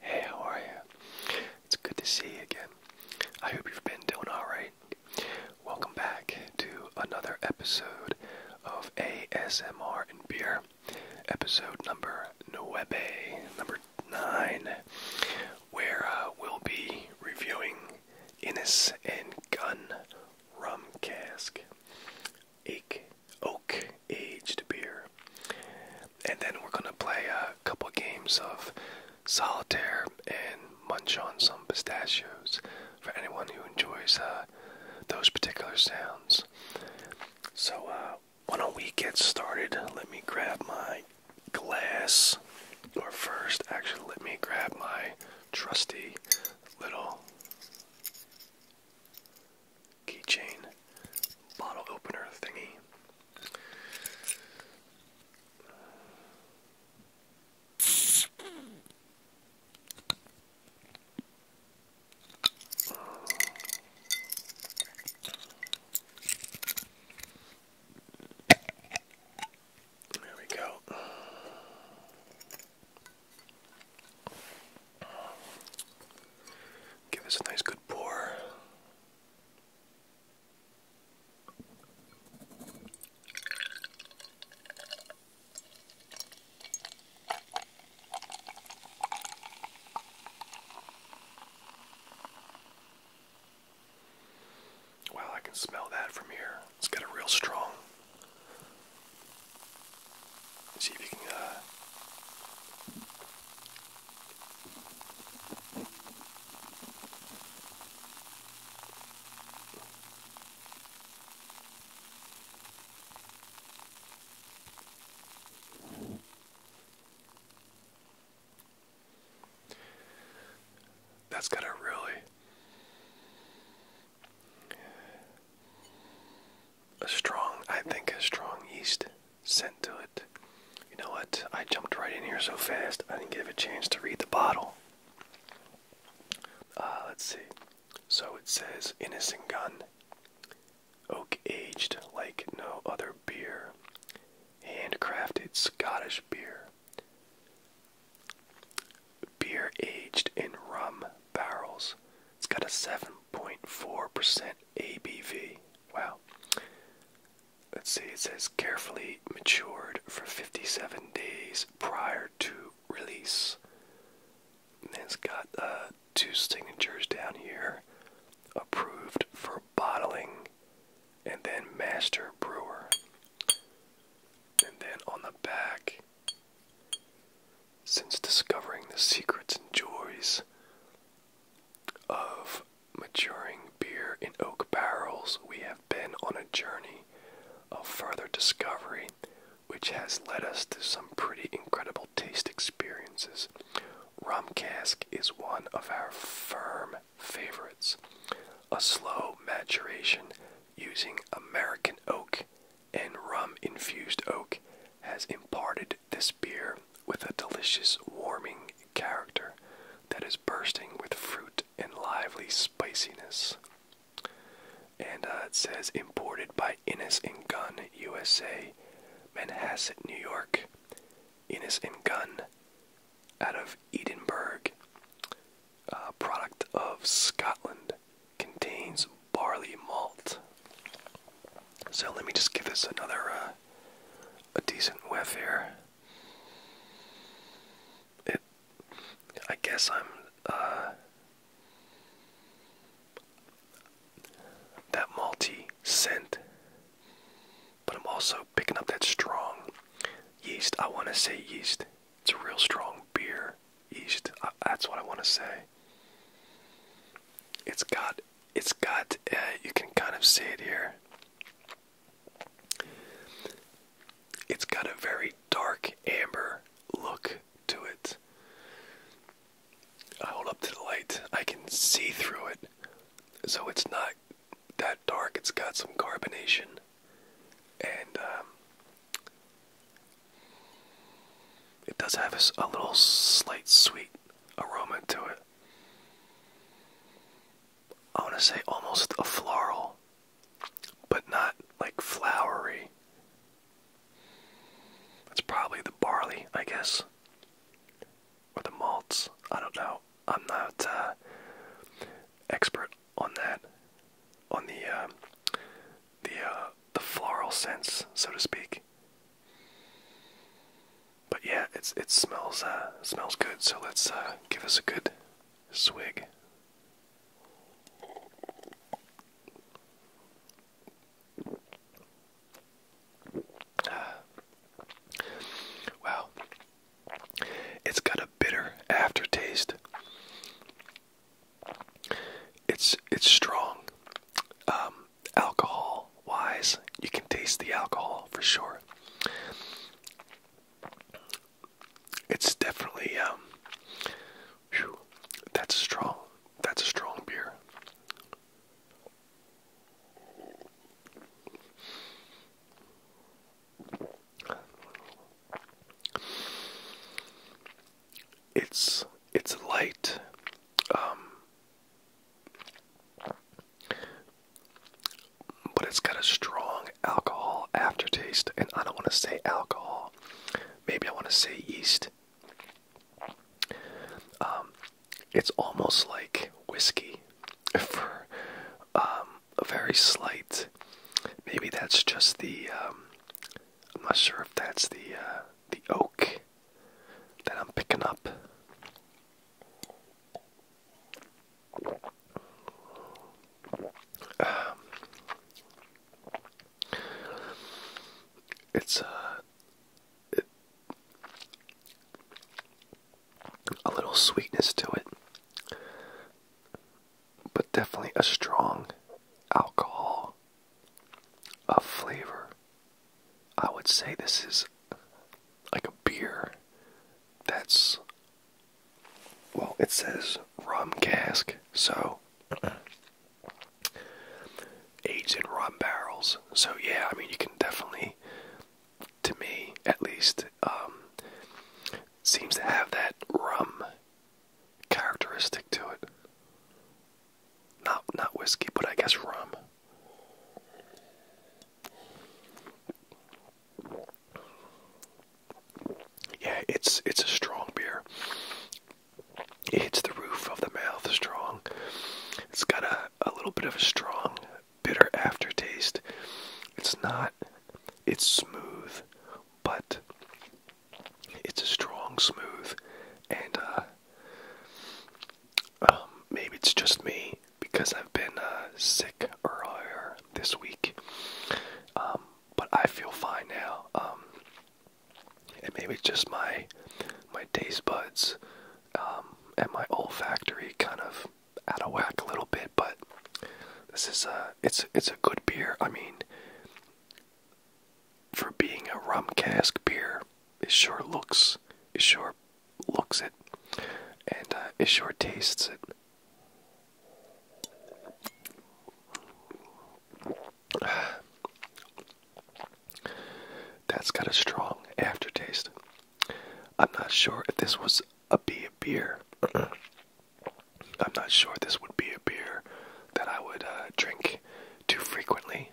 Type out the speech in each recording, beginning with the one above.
Hey, how are you? It's good to see you again. I hope you've been doing alright. Welcome back to another episode of ASMR and Beer, episode number Nueve, number 9, where uh, we'll be reviewing Innis and Gunn Rum Cask Ake Oak aged beer. And then we're gonna play a couple games of solitaire and munch on some pistachios for anyone who enjoys uh, those particular sounds. So uh, why don't we get started? Let me grab my glass. Or first, actually, let me grab my trusty little keychain bottle opener thingy. There we go. Give us a nice good Wow, I can smell that from here. It's got a real strong. See if you can uh, that's got a really a strong, I think, a strong yeast scent to it. You know what? I jumped right in here so fast, I didn't give a chance to read the bottle. Uh, let's see. So it says Innocent Gun. Oak aged like no other beer. Handcrafted Scottish beer. Beer aged in rum barrels. It's got a 7.4% ABV. Well, Let's see, it says carefully matured for 57 days prior to release. And it's got uh, two signatures down here approved for bottling and then master brewer. And then on the back, since discovering the secrets and joys of maturing beer in oak barrels, we have been on a journey of further discovery, which has led us to some pretty incredible taste experiences. Rum cask is one of our firm favorites. A slow maturation using American oak and rum infused oak has imparted this beer with a delicious warming character that is bursting with fruit and lively spiciness. And uh, it says imported by Innis and Gunn USA, Manhasset, New York. Innis and Gunn out of Edinburgh, uh, product of Scotland, contains barley malt, so let me just give this another uh, a decent whiff here. I guess I'm. Uh, that malty scent, but I'm also picking up that strong yeast. I want to say yeast. It's a real strong beer yeast. that's what I want to say. It's got it's got uh, you can kind of see it here. It's got a very dark amber look to it. I hold up to the light. I can see through it. So it's not that dark. It's got some carbonation. And um, it does have a little slight sweet aroma to it. I want to say almost a floral, but not like flowery. That's probably the barley, I guess, or the malts. I don't know. I'm not uh, expert on that, on the uh, the uh, the floral sense, so to speak. But yeah, it's it smells uh, smells good, so let's uh, give us a good swig. Ah. wow. It's got a bitter aftertaste. It's it's strong. Um, alcohol wise, you can taste the alcohol for sure. It's definitely um, that's a strong that's a strong beer. It's it's light. Um, but it's got a strong alcohol aftertaste, and I don't want to say alcohol. Maybe I want to say yeast. Um, it's almost like whiskey for um, a very slight. Maybe that's just the. Um, I'm not sure if that's the uh, the oak that I'm picking up. Um, it's uh, a little sweetness to it, but definitely a strong alcohol of flavor. I would say this is like a beer that's well, it says rum cask, so aged in rum barrels. So yeah, I mean you can definitely to me at least um, seems to have that rum characteristic to it. Not not whiskey, but I guess rum. Yeah, it's it's a strong beer. It hits the roof of the mouth strong. It's got a, a little bit of a strong bitter aftertaste. It's not it's smooth, but it's a strong smooth and uh, um, maybe it's just me because I've been uh, sick earlier this week, um, but I feel fine now. Um, and maybe it's just my my taste buds and my olfactory kind of out of whack a little bit, but this is a it's it's a good beer. I mean, for being a rum cask beer. It sure looks, it sure looks it, and uh, it sure tastes it. That's got a strong aftertaste. I'm not sure if this was a be beer. I'm not sure this would be a beer that I would uh, drink too frequently.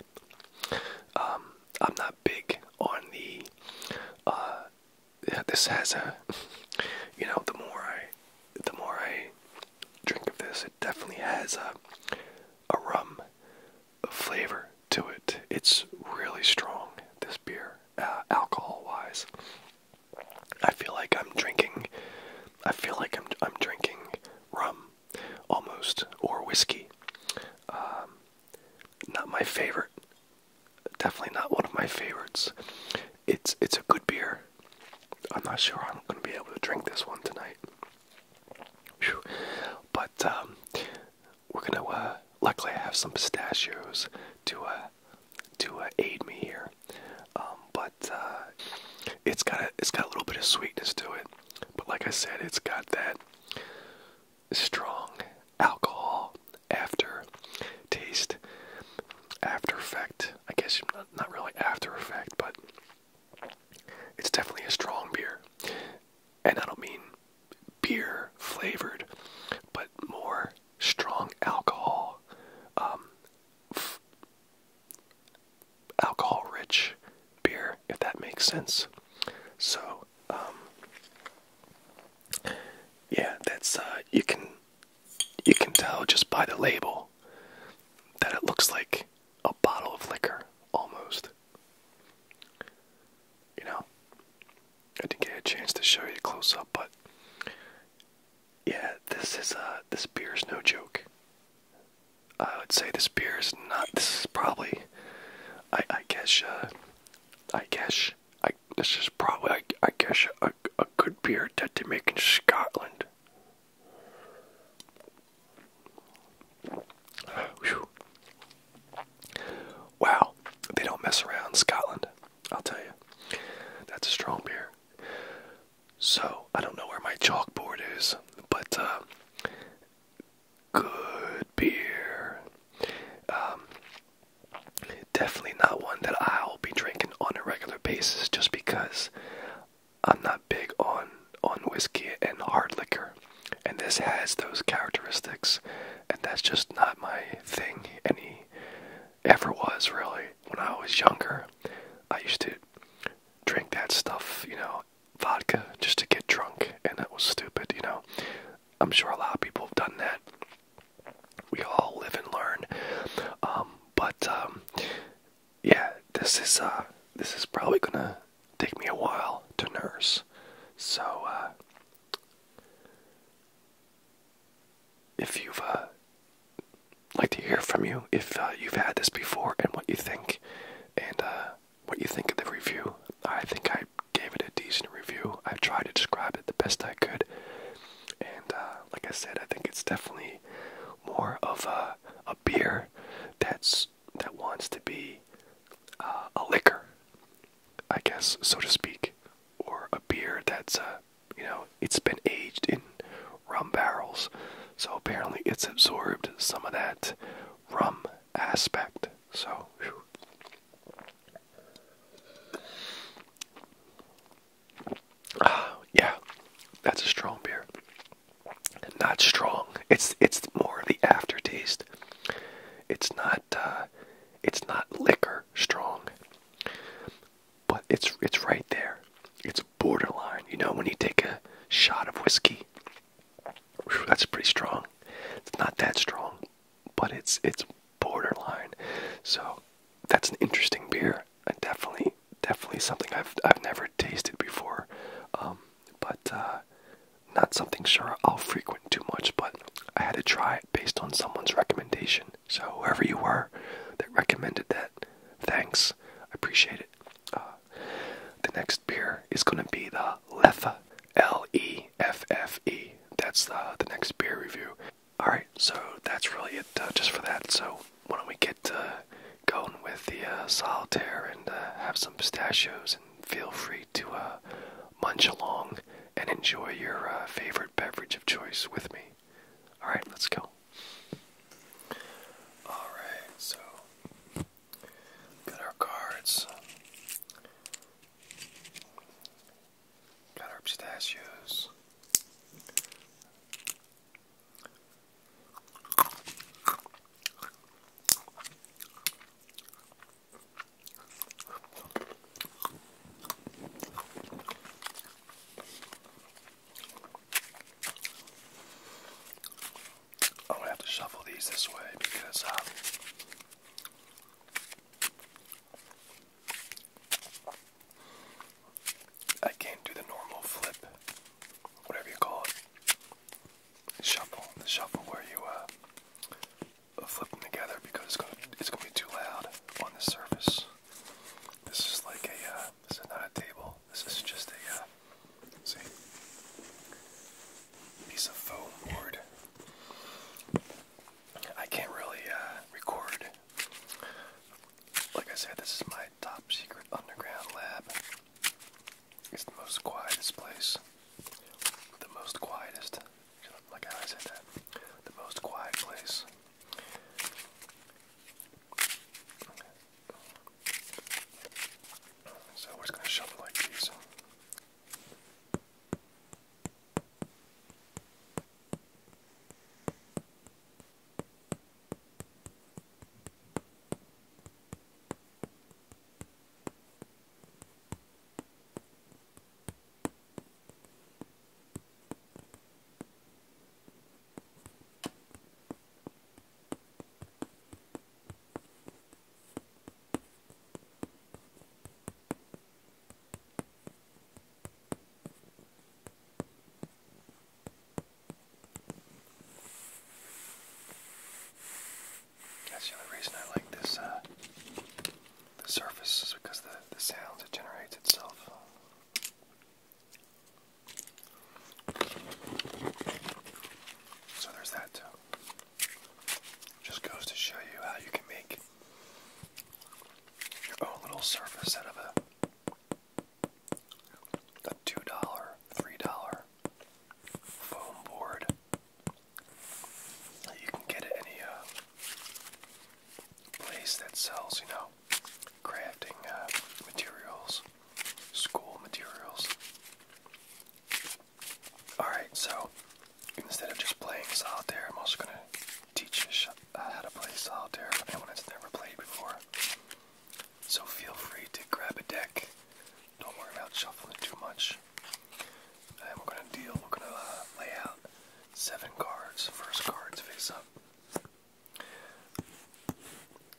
Um, I'm not big on the. Uh, this has a. You know, the more I, the more I drink of this, it definitely has a, a rum, flavor to it. It's really strong. This beer, uh, alcohol-wise, I feel like I'm drinking. I feel like I'm I'm drinking rum almost, or whiskey. Um, not my favorite. Definitely not one of my favorites. It's it's a good beer. I'm not sure I'm going to be able to drink this one tonight. But um, we're gonna. Uh, luckily, I have some pistachios to uh, to uh, aid me here. Um, but it's got it's got a little bit of sweetness to it. But like I said, it's got that strong alcohol after taste, after effect. I guess not, not really after effect, but it's definitely a strong beer. And I don't mean beer flavored, but more strong alcohol um, alcohol rich beer, if that makes sense. So, um, yeah, that's, uh, you can, you can tell just by the label that it looks like a bottle of liquor almost. You know, I didn't get a chance to show you close up, but yeah, this is, uh, this beer's no joke. I would say this beer is not. This is probably, I I guess, uh, I guess, I this is probably, I, I guess, a a good beer that they make in Scotland. Whew. Wow, they don't mess around in Scotland. I'll tell you, that's a strong beer. So I don't know where my chalkboard is, but uh, good beer. Um, definitely not one that I'll be drinking on a regular basis just because I'm not big on on whiskey and hard liquor. And this has those characteristics and that's just not my thing any ever was really. When I was younger, I used to drink that stuff, you know, vodka just to get drunk, and that was stupid, you know. I'm sure a lot of people have done that. We all live and learn. Um, but um, yeah, this is uh, this is probably gonna take me a while to nurse. So uh, if you've uh, like to hear from you, if uh, you've had this before and what you think, and uh, what you think of the review. I think I gave it a decent review. I tried to describe it the best I could, and uh, like I said, I think it's definitely more of a a beer that's that wants to be uh, a liquor, I guess, so to speak, or a beer that's uh, you know it's been aged in rum barrels, so apparently it's absorbed some of that rum aspect. So, ah, yeah, that's a strong beer. Not strong. It's it's more of the aftertaste. It's not uh, it's not liquor strong, but it's it's right there. It's borderline. You know, when you take a shot of whiskey, that's pretty strong. It's not that strong, but it's it's borderline. So that's an interesting beer. definitely, definitely something I've I've never tasted before. Um, but uh, not something sure I'll frequent too much. But I had to try it based on someone's recommendation. So whoever you were that recommended that, thanks. I appreciate it. Uh, the next beer is going to be the Leffe, L E F F E. That's uh, the next beer review. Alright, so that's really it uh, just for that. So, why don't we get uh, going with the solitaire and have some pistachios and feel free to munch along and enjoy your favorite beverage of choice with me. Alright, let's go. Alright, so Got our cards. Got our pistachios. I'm gonna have to shuffle these this way because um, I can't do the normal flip, whatever you call it. Shuffle, the shuffle where you uh, flip them together because it's gonna it's gonna be too loud on the surface. This is like a uh, this is not a table. This is just a uh, piece of foam board. I can't really uh, record. Like I said, this is my top secret underground lab. It's the most quietest place. The most quietest. Like how I said that. The most quiet place. So we're just going to shove it like these. That's the only reason I like this uh, the surface because the the sounds it generates itself. So there's that too. Just goes to show you how you can make your own little surface out of a, $2, $3 foam board. You can get at any uh, place that sells, you know, crafting uh, materials school materials. Alright, so instead of just playing solitaire, I'm also going to teach you uh, how to play solitaire anyone that's never played before. So feel free to grab a deck. Don't worry about shuffling too much. And we're going to deal, we're going to uh, lay out seven cards. First card's face up.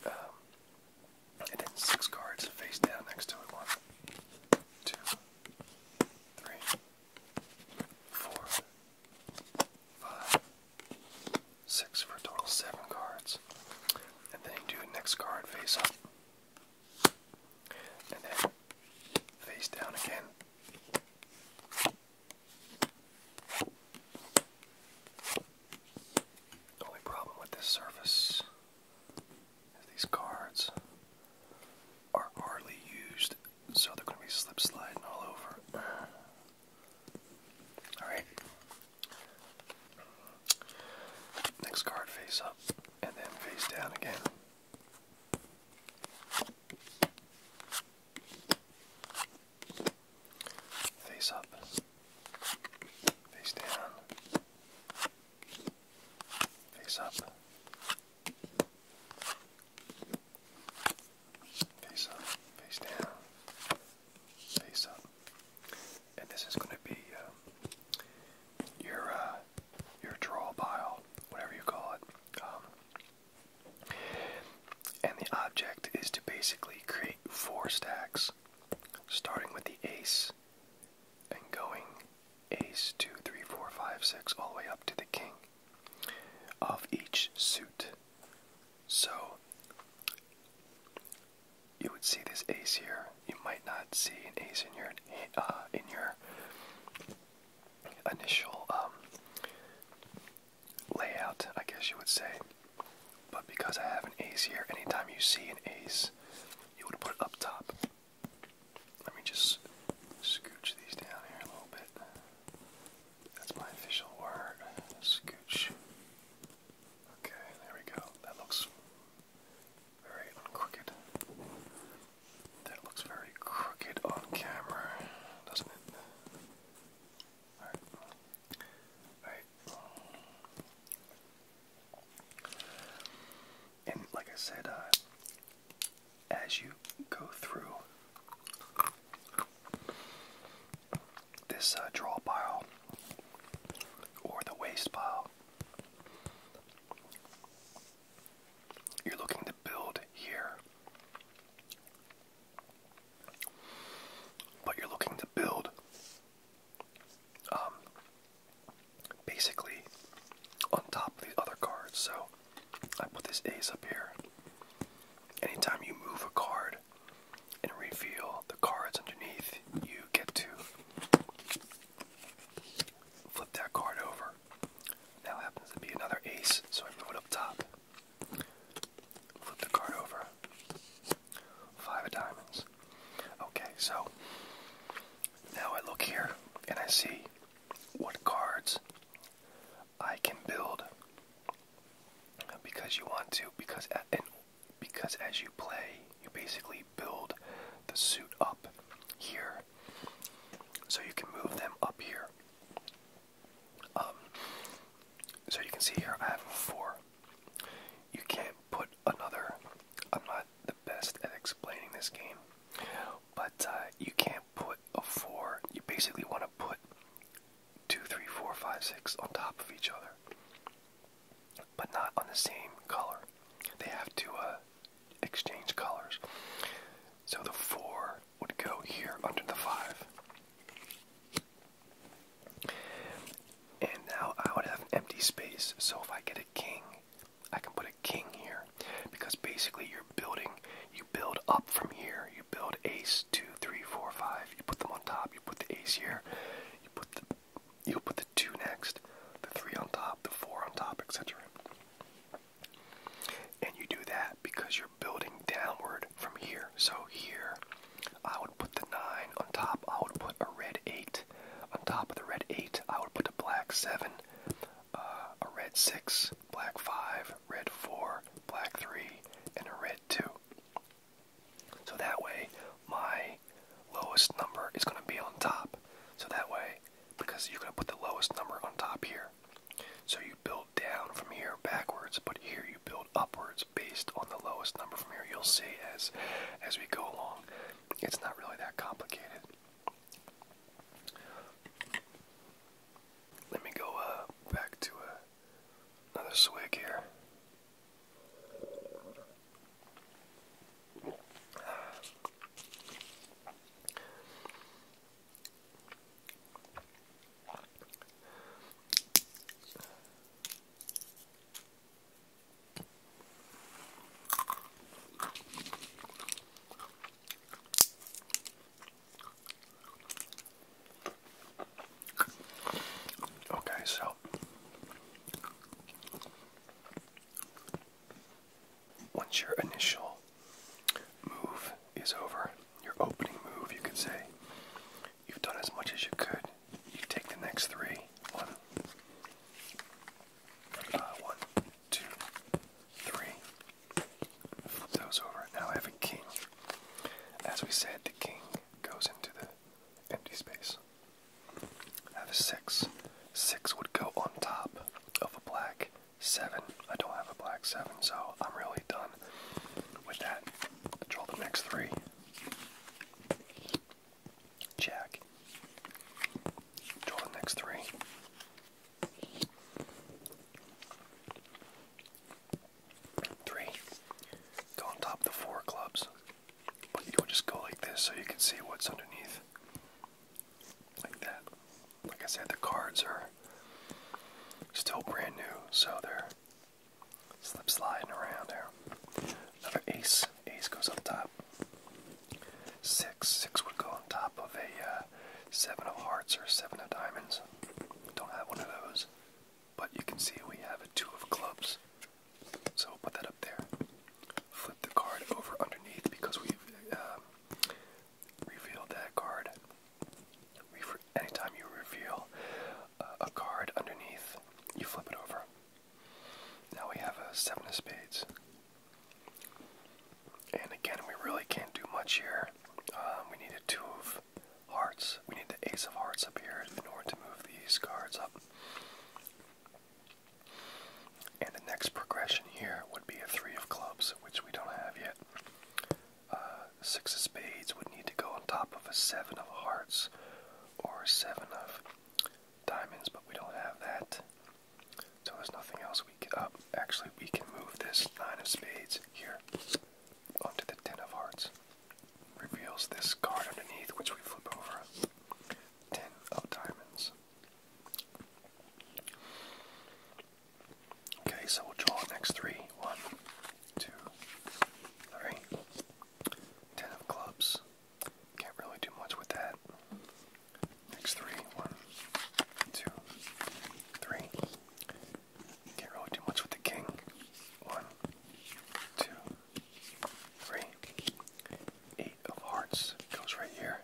Um, and then six cards face down next to it. One, two, three, four, five, six for a total seven cards. And then you do the next card face up. And then face down again. The only problem with this surface is these cards are hardly used, so they're going to be slip sliding all over. Alright. Next card face up and then face down again. Face up, face down, face up, face up, face down, face up. And this is going to be um, your uh, your draw pile, whatever you call it. Um, and the object is to basically create four stacks starting with the ace and going ace, two, three, four, five, six, all the way up to the king of each suit. So you would see this ace here. You might not see an ace in your uh, in your initial um, layout, I guess you would say. But because I have an ace here, anytime you see an ace, you would put it up top. Let me just scooch these down here a little bit. That's my official word. Scooch. Okay, there we go. That looks very crooked. That looks very crooked on camera, doesn't it? Alright. Alright, and like I said, uh, as you go through this uh, draw pile or the waste pile, you're looking to build here. But you're looking to build um, basically on top of the other cards. So I put this ace up here. Anytime you move a card and reveal the cards underneath, you get to flip that card over. Now happens to be another ace, so I move it up top. Flip the card over. Five of diamonds. Okay, so now I look here and I see what cards I can build because you want to because and because as you play you basically build the suit up here so you can move them up here um, so you can see here I have four you can't put another. I'm not the best at explaining this game, but uh, you can't put a four. You basically want to put two, three, four, five, six on top of each other, but not on the same color. They have to uh, exchange colors. So the four would go here under the five. And now I would have an empty space. So if I get a king, I can put a king here. Because basically you're building, you build up from here. You build ace, two, three, four, five. You put them on top. You put the ace here. You put the you'll put the two next, the three on top, the four on top, etc. And you do that because you're building downward from here. So here I would put the 9 on top. I would put a red 8. On top of the red 8, I would put a black 7, uh, a red 6, black 5, red 4, black 3, and a red 2. So that way, my lowest number is going to be on top. So that way, because you're going to put the lowest number on top here. So you build down from here backwards, but here you build upwards based on the lowest number from here. You'll see as as we go along. It's not really that complicated. Let me go uh, back to uh, another swig here. Okay, so once your initial move is over, your opening move, you could say, you've done as much as you could you take the next three. One, Flip uh, those over. Now I have a king. As we said, the king goes into the empty space. I have a six. Six would go on top of a black seven. I don't have a black seven, so I'm really done with that. I draw the next three. Jack. Draw the next three. Three. Go on top of the four clubs. you'll just go like this so you can see what's underneath. Like that. Like I said, the cards are still brand new, so they're Slip sliding around there. Another ace. Ace goes on top. Six. Six would go on top of a uh, seven of hearts or seven of diamonds. Don't have one of those. But you can see we have a two of clubs. So we'll put that up there. Flip the card over underneath because we've um, revealed that card. we anytime you reveal a card underneath, you flip it over. Now we have a seven of spades. And again, we really can't do much here. Um, we need a two of hearts. We need the ace of hearts up here in order to move these cards up. And the next progression here would be a three of clubs, which we don't have yet. Uh, six of spades would need to go on top of a seven of hearts or seven of diamonds, but we don't have that. So there's nothing else we can. Uh, actually, we can move this nine of spades here onto the ten of hearts. Reveals this card underneath, which we flip over. Ten of diamonds. Okay, so we'll draw the next three. One, two, three. Ten of clubs. Can't really do much with that. Next three. two, three. Can't really do much with the king. One, two, three. Eight of hearts goes right here.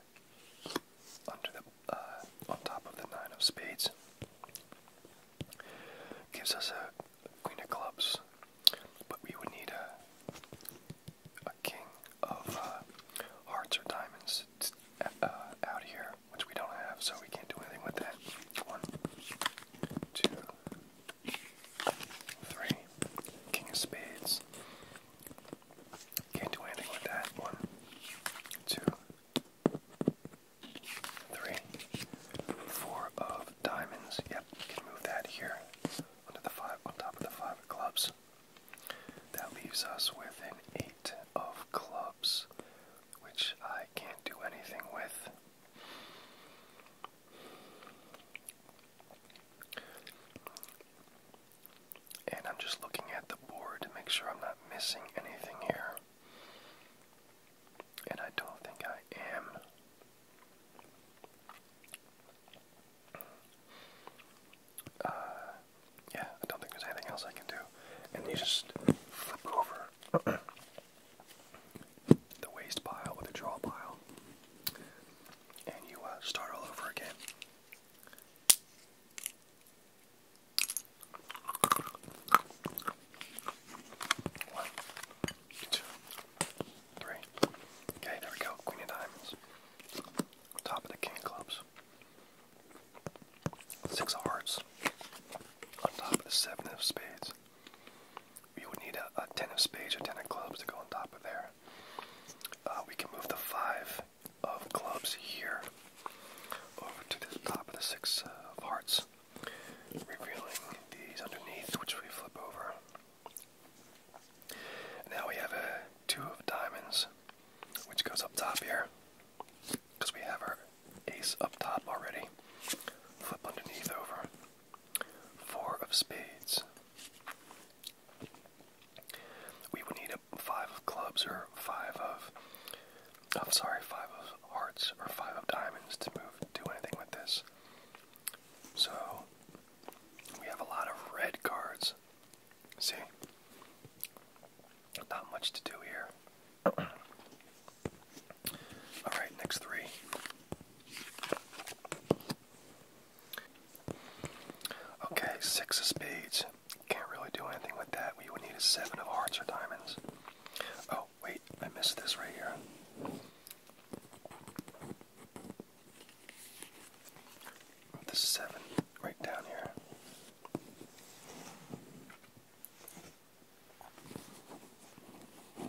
Under the, uh, on top of the nine of spades. Gives us a queen of clubs, but we would need a, a king of uh, hearts or diamonds uh, out here, which we don't have, so we can't do anything with that. One, two, three, king of spades. Can't do anything with that. One, two, three, four of diamonds. Yep, you can move that here under the five on top of the five of clubs. That leaves us with an eight of clubs, which I can't do anything with. And I'm just looking at the board to make sure I'm not missing anything here and I don't think I am. Uh, yeah, I don't think there's anything else I can do. And you just flip over the waste pile with the draw pile, and you uh, start all over again. One, two, three. Okay, there we go. Queen of diamonds. Top of the king of clubs. Six of hearts. On top of the seven of spades. We would need a, ten of spades or ten of clubs to go on top of there. Uh, we can move the five of clubs here over to the top of the six of hearts revealing these underneath, which we flip over. now we have a two of diamonds, which goes up top here, because we have our ace up top already. Flip underneath over. Four of spades. We would need a five of clubs or five of I'm sorry, five of hearts or five of diamonds to move do anything with this. So we have a lot of red cards. See? Not much to do here. Alright, next three. Okay, six of spades. Can't really do anything with that. We would need a seven of hearts or diamonds. Oh, wait, I missed this right here. The seven right down here. I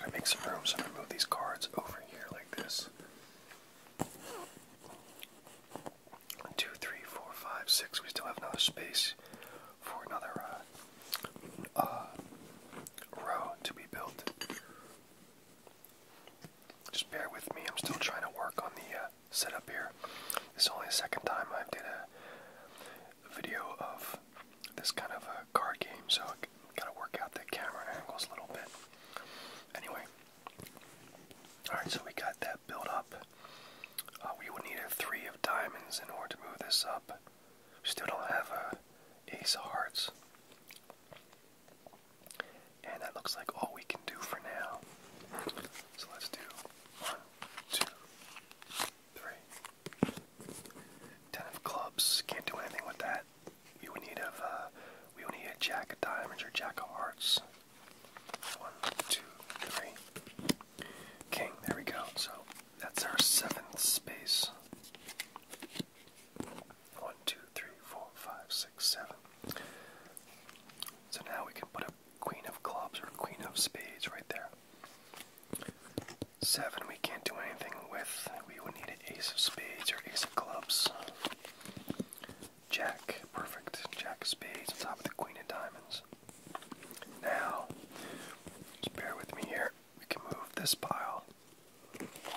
gotta make some room so move these cards over here like this. One, two, three, four, five, six. We still have another space for another uh, uh, row to be built. Just bear with me. I'm still trying to work on the uh, setup here. This is only the second time I've did a video of this kind of a card game, so gotta work out the camera angles a little bit. Anyway. Alright, so we got that built up. Uh, we will need a three of diamonds in order to move this up. We still don't have a ace of hearts. And that looks like all we can do for now. So let's do one, two, three. Ten of clubs. Can't do anything with that. We would need a uh, we would need a jack of diamonds or jack of hearts. One, two, three. King, there we go. So that's our seventh space. One, two, three, four, five, six, seven. So now we can put a queen of clubs or queen of spades right there. Seven, we can't do anything with. We would need an ace of spades or ace of clubs. Jack. Perfect. Jack of spades on top of the queen of diamonds. Now, bear with me here. We can move this pile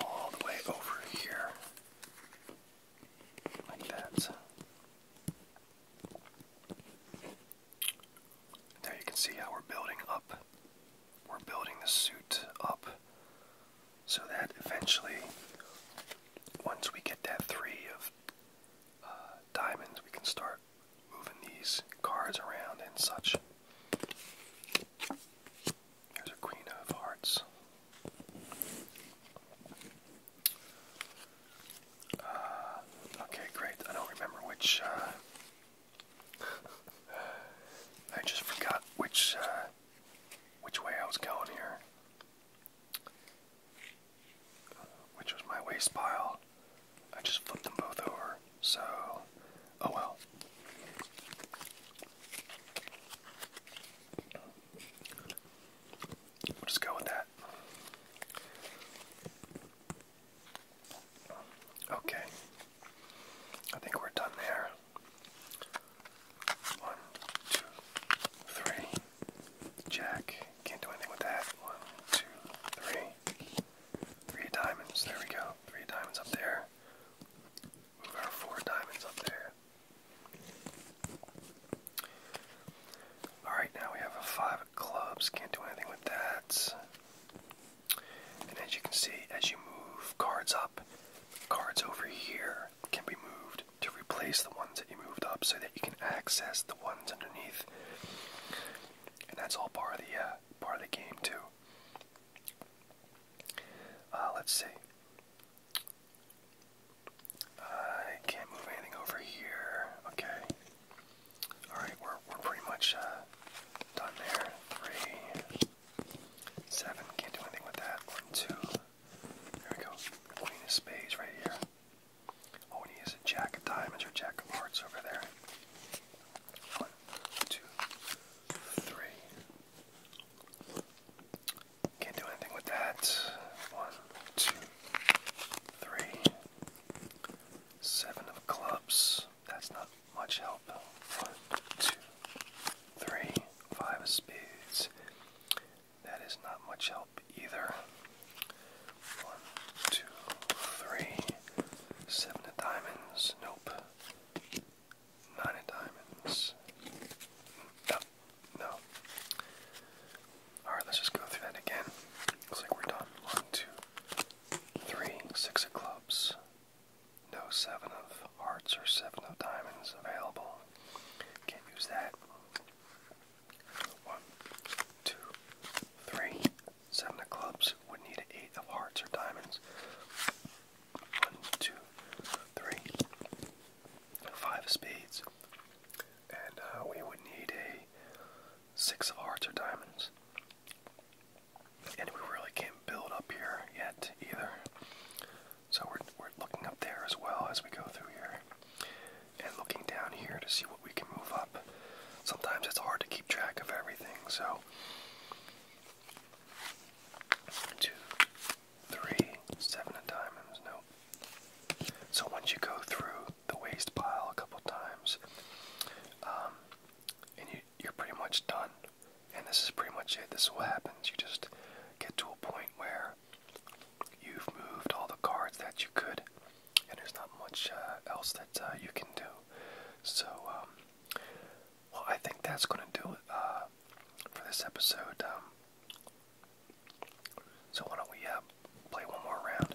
all the way over here. Like that. There you can see how we're building up. We're building the suit up so that eventually, once we get that three of uh, diamonds, we can start moving these cards around and such. There's a queen of hearts. Uh, okay, great. I don't remember which. Uh, I just forgot which which way I was going here which was my waste pile. I just flipped them both over, so oh well. We'll just go with that. Okay. I think we're done there. One, two, three. Jack. Can't do anything with that. One, two, three. Three diamonds. There we go. Three diamonds up there. Move our four diamonds up there. Alright, now we have a five of clubs. Can't do anything with that. And as you can see, as you move cards up, cards over here can be moved to replace the ones that you moved up so that you can access the ones underneath. And that's all part of the uh, part of the game too. Uh, let's see. I can't move anything over here. Okay. All right, we're we're pretty much uh, done there. Three, seven. Can't do anything with that. One, two. There we go. Queen of spades right here. Oh, and he has a jack of diamonds or jack of hearts over there. One, two, three. Can't do anything with that. One, two, three. Seven of clubs. That's not much help. One, two, three, five of spades. That is not much help either. One, two, three. Seven of diamonds. Nope. Nine of diamonds. No. No. Alright, let's just go through that again. Looks like we're done. One, two, three. Six of clubs. No seven of hearts or seven of diamonds available. Can't use that. One, two, three. Seven of clubs would need eight of hearts or diamonds. One, two, three. Five of spades. And uh, we would need a six of hearts or diamonds. And we really can't build up here yet either. So we're, we're looking up there as well as we go through here. And looking down here to see what we can move up. Sometimes it's hard to keep track of everything, so. Two, three, seven of diamonds, nope. So once you go through the waste pile a couple times, um, and you, you're pretty much done. And this is pretty much it. This is what happens. You just get to a point where you've moved all the cards that you could, and there's not much uh, else that uh, you can do. So, um, I think that's going to do it uh, for this episode. Um, so, why don't we play one more round?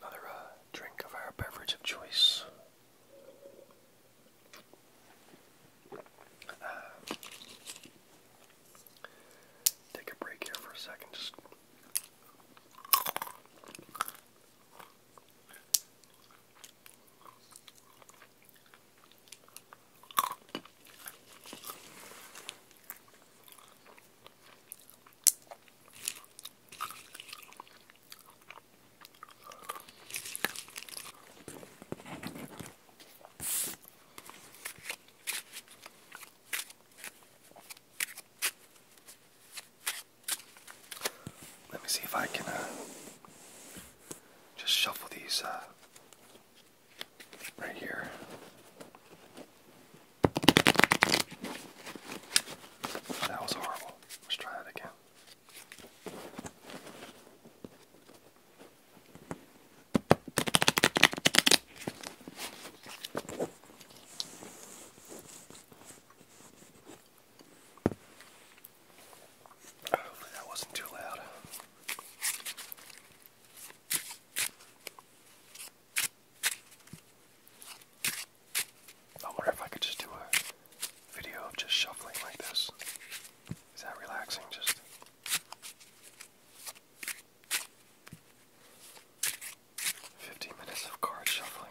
another uh, drink of our beverage of choice. Uh, take a break here for a second. Just let me see if I can uh, just shuffle these uh, right here. That was horrible. Let's try that again. Hopefully that wasn't too loud. I wonder if I could just do a video of just shuffling like this. Is that relaxing? Just. Fifty minutes of card shuffling.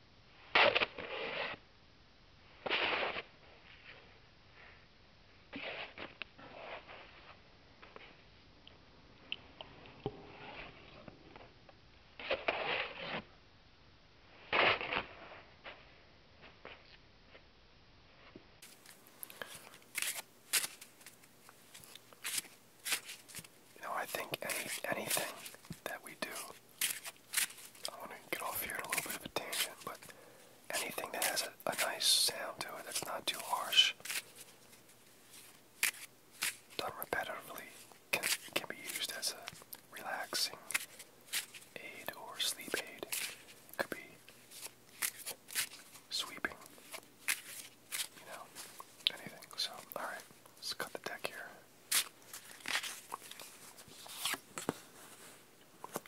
No, I think any anything that we do I want to get off here in a little bit of a tangent, but anything that has a, nice sound to it that's not too harsh, done repetitively, can, can be used as a relaxing aid or sleep aid. could be sweeping, you know, anything. So, alright, let's cut the deck here.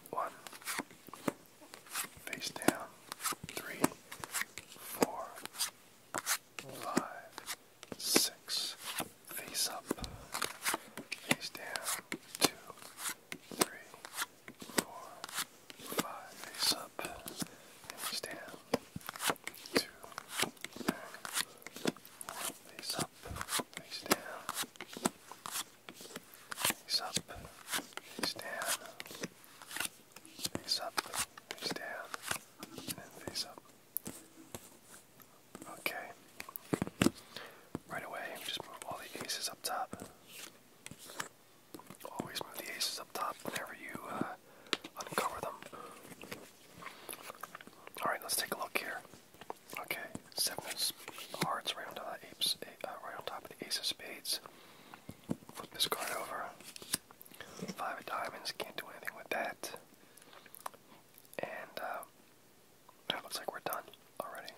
One. Face down. Three. Four. Five. Six. Face up. Face down. Two. Three. Four. Five. Face up. Face down. Two. Three face up, face down, face up, face down, face up, face down, and then face up. Okay. Right away, just move all the aces up top. Always move the aces up top whenever you uh, uncover them. Alright, let's take a look here. Okay, seven of hearts uh, right on top of the ace of spades. Flip this card over. Five of diamonds, can't do anything with that. And uh, that looks like we're done already.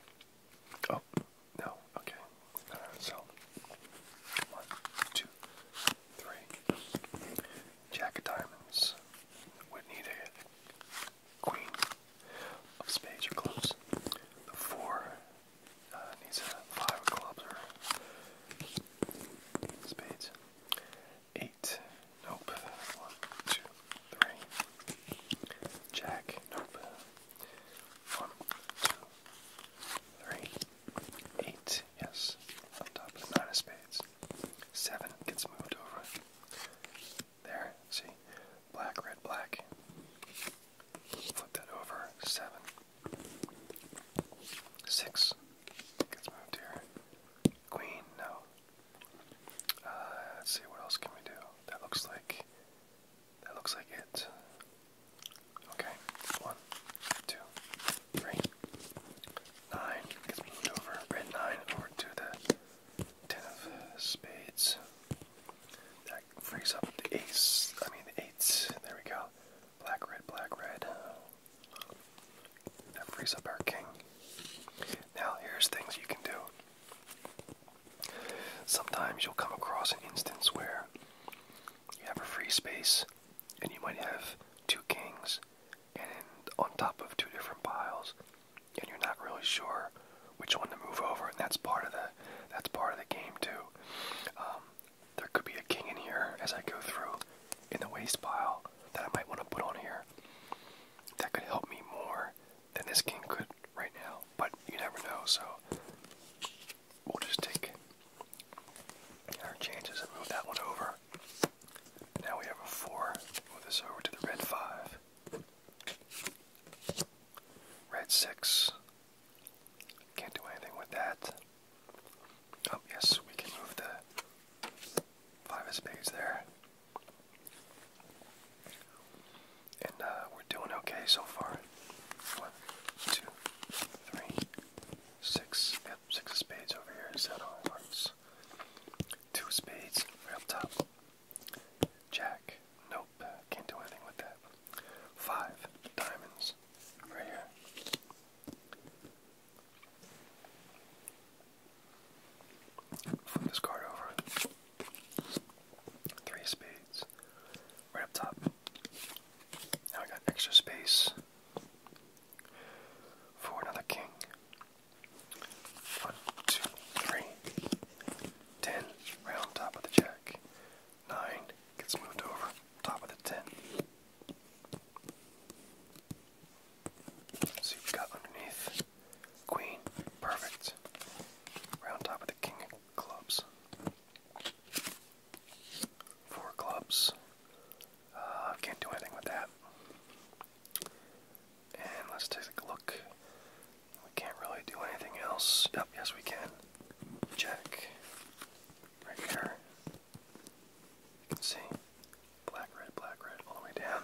Oh, no, okay. so, one, two, three. Jack of Diamonds would need a Queen of Spades or Clubs. The Four needs uh, a uh, Five of Clubs or Spades. Eight, nope. One, two, three. Jack, nope. One, two, yes. On top of the Nine of Spades. Seven gets moved over. There, see? Black, red, black. Flip that over. Seven. Six gets moved here. Queen, no. Uh, let's see, what else can we do? That looks like. That looks like it. Okay, one, two, three, nine gets moved over, red nine over to the ten of spades. That frees up the ace, I mean the eights, there we go. Black, red, black, red. That frees up our king. Now here's things you can do. Sometimes you'll come across an instance where you have a free space and you might have two kings and on top of two different piles and you're not really sure which one to move over and that's part of the that's part of the game too um, there could be a king in here as I go through in the waste pile that I might want to put on here that could help me more than this king could right now but you never know so we'll just take our chances and move that one over now we have a four. Move this over to the red five. Red six. Can't do anything with that. Oh yes, we can move the five of spades there. And uh, we're doing okay so far. One, two, three, six. Yep, six of spades over here. Seven hearts. Two spades, right up top. Jack, nope, can't do anything with that. Five diamonds, right here. Flip this card over. Three spades, right up top. Now I got extra space for another king. One, two, round top of the jack. Nine gets moved over, top of the ten. So you've got underneath queen, perfect. Round top of the king of clubs. Four clubs. Uh, can't do anything with that. And let's take a look. We can't really do anything else. Yep, yes we can. Check. Right here. You can see. Black, red, black, red, all the way down.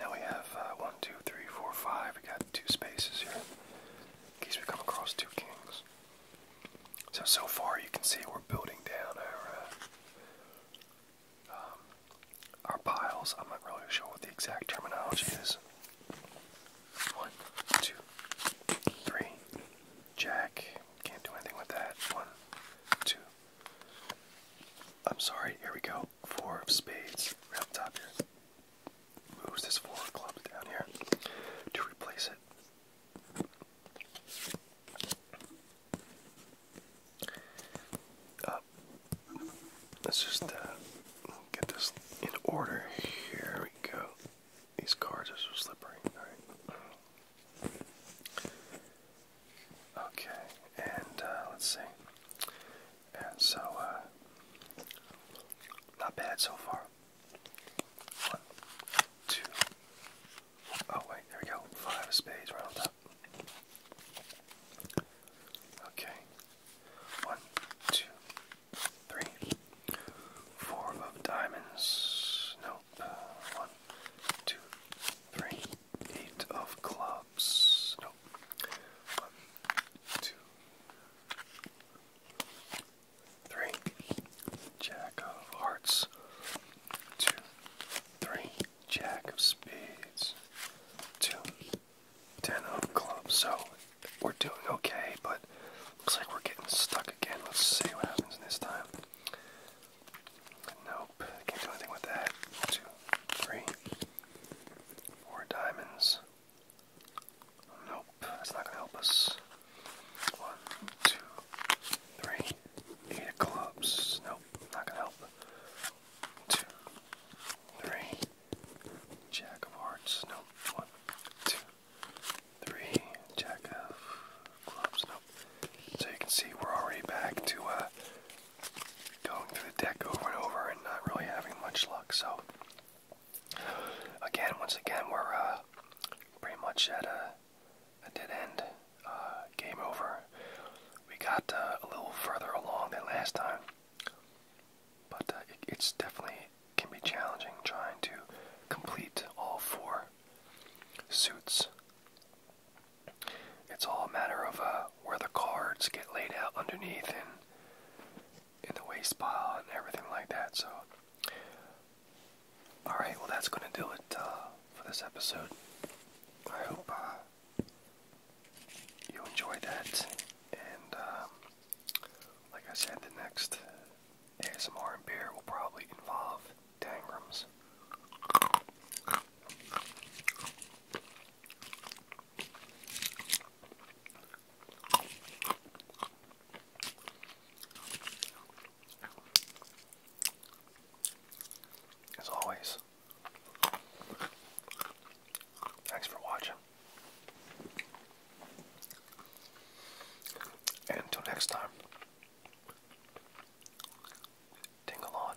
Now we have uh, one, two, three, four, five. We got two spaces here. In case we come across two kings. So, so far you can see we're building down our, uh, um, our piles. I'm not really sure what the exact terminology is. One, two, three. Jack. Can't do anything with that. One, two. I'm sorry, here we go. Four of spades. Right up top here. Moves this four of clubs down here to replace it. Uh, let's just uh, get this in order. Here we go. These cards are so slippery. All right. Okay, and uh, let's see. so, not bad so far. One, two, Oh wait, there we go. Five of spades right on Okay. One, two, three, four of diamonds. Nope. Uh, of clubs. Nope. One, two, three. Jack of hearts. Two, three jack of spades, two ten of clubs. So we're doing okay, but looks like we're getting stuck again. Let's see what happens this time. Nope, can't do anything with that. Two, three, four diamonds. Nope, that's not gonna help us. One, two, three. Eight of clubs. Nope, not gonna help. Two, three. Jack of hearts. Nope. One, two, three. Jack of clubs. Nope. So you can see we're already back to uh, going through the deck over and over and not really having much luck. So again, once again, we're uh, pretty much at a a dead end uh, game over. We got uh, a little further along than last time, but uh, it, it's definitely can be challenging trying to complete all four suits. It's all a matter of uh, where the cards get laid out underneath and in the waste pile and everything like that. So all right, well that's going to do it uh, for this episode. I hope uh, you enjoyed that, and um, like I said, the next ASMR beer will probably involve tangrams. As always, thanks for watching. And until next time, tingle on.